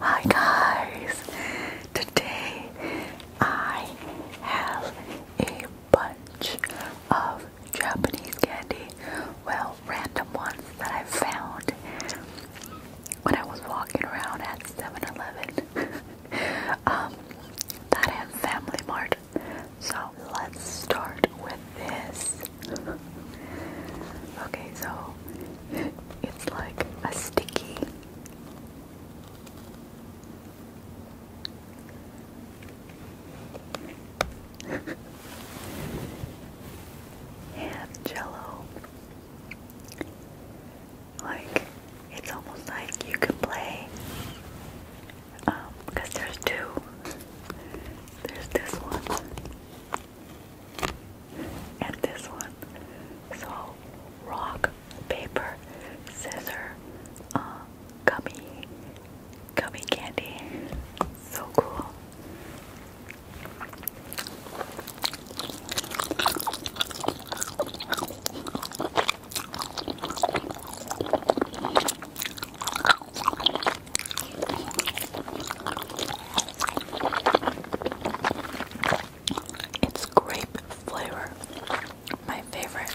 Hi guys! Today I have a bunch of Japanese candy, well, random ones that I found when I was walking around at 7 Eleven um, that and Family Mart so let's start with this. Okay, so it's like a sticky. and jello. Like, it's almost like you can play um, because there's two. There's this one and this one. So rock, paper, scissor, uh, gummy, gummy candy. So cool. It's grape flavor, my favorite.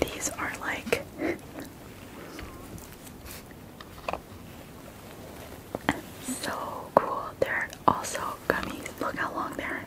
These are like so cool. They're also gummies. Look how long they're.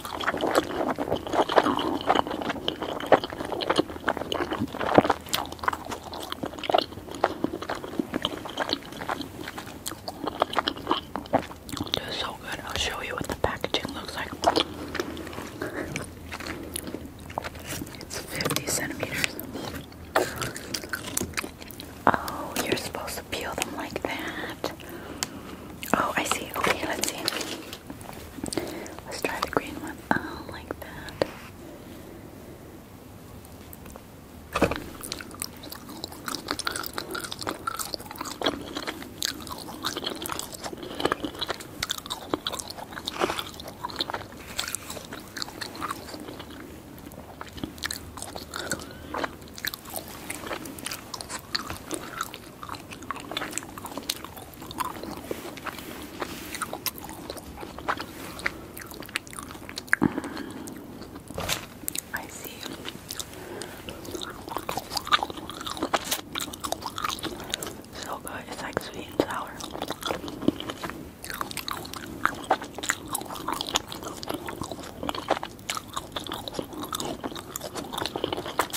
so good. I'll show you what the packaging looks like. It's 50 centimeters. Oh, you're supposed to peel them like that. Oh, I see. Okay, let's see. Let's try the green one. Oh, like that. Um, I see. So good. It's like sweet and sour.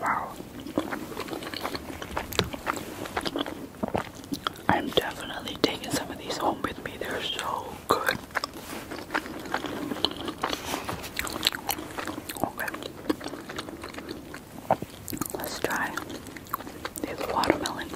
Wow. I'm definitely taking some of these home with me. They're so good. Okay. Let's try the watermelon.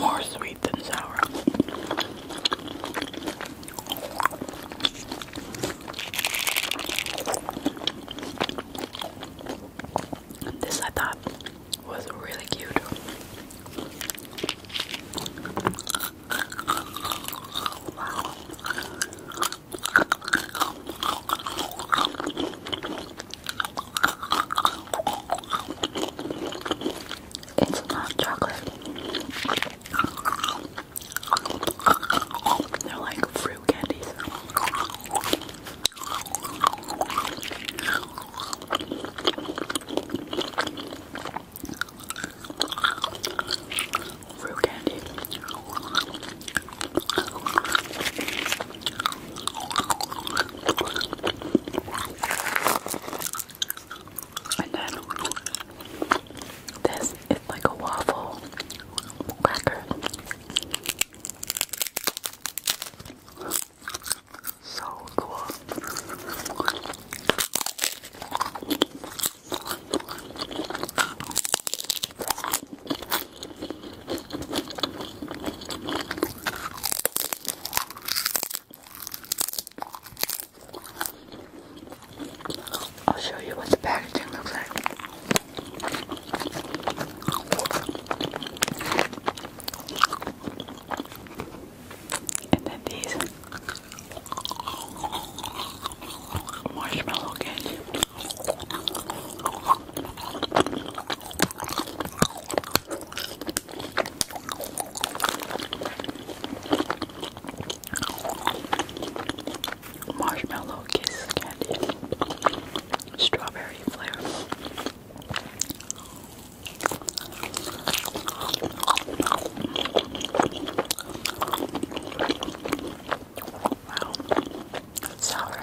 More sweet than sour. This I thought was really cute. It's not chocolate. They're like fruit candies. Fruit candy. And then this is like a waffle cracker. So cool. I'll show you what the packaging looks like. And then these marshmallow candy. Marshmallow kiss candy, strawberry flavor. Wow, that's sour.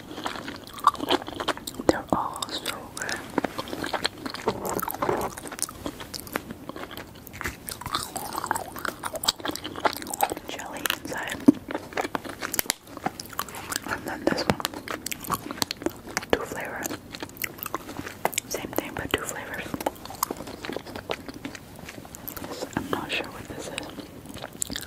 They're all so good. Jelly inside. And then this one. Two flavors. Same thing, but two flavors. I'm not sure what this is.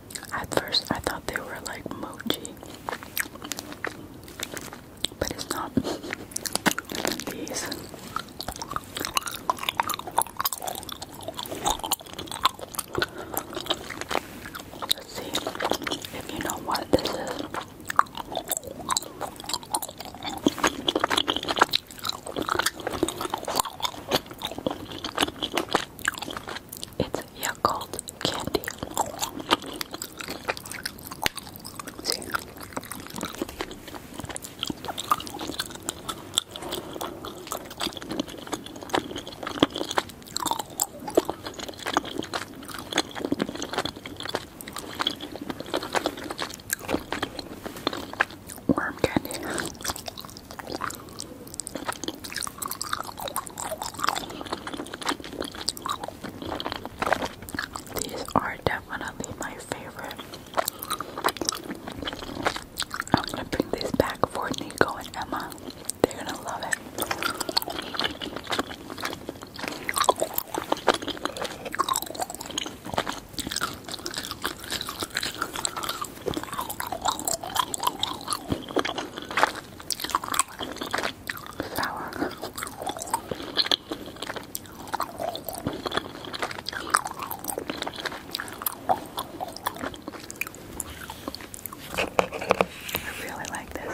At first, I thought they were like mochi, but it's not. These. Let's see if you know what this is. It's Yakult candy. Worm candy. These are definitely my favorite. I'm gonna bring this back for Nico and Emma. They're gonna love it sour. I really like this.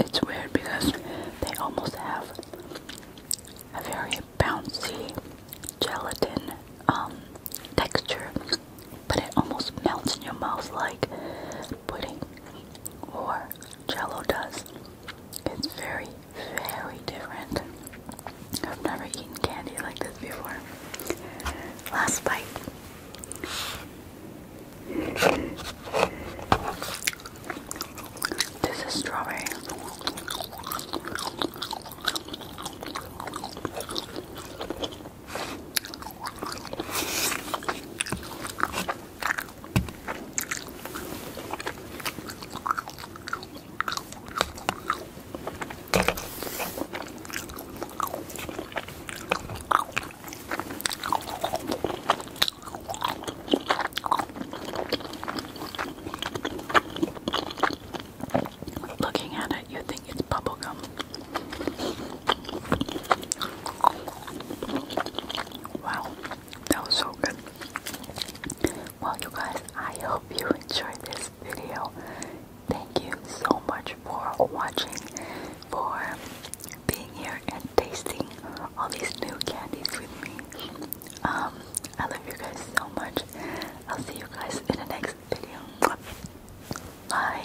It's weird because they almost have a very bouncy gelatin um, texture, but it almost melts in your mouth like pudding or jello does. It's very, very different. I've never eaten candy like this before. Last bite. This is strawberry. Looking at it, you think it's bubblegum. Wow, that was so good. Well, you guys, I hope you enjoyed this video. Thank you so much for watching, for being here and tasting all these new candies with me. Um, I love you guys so much. I'll see you guys in the next video. Bye.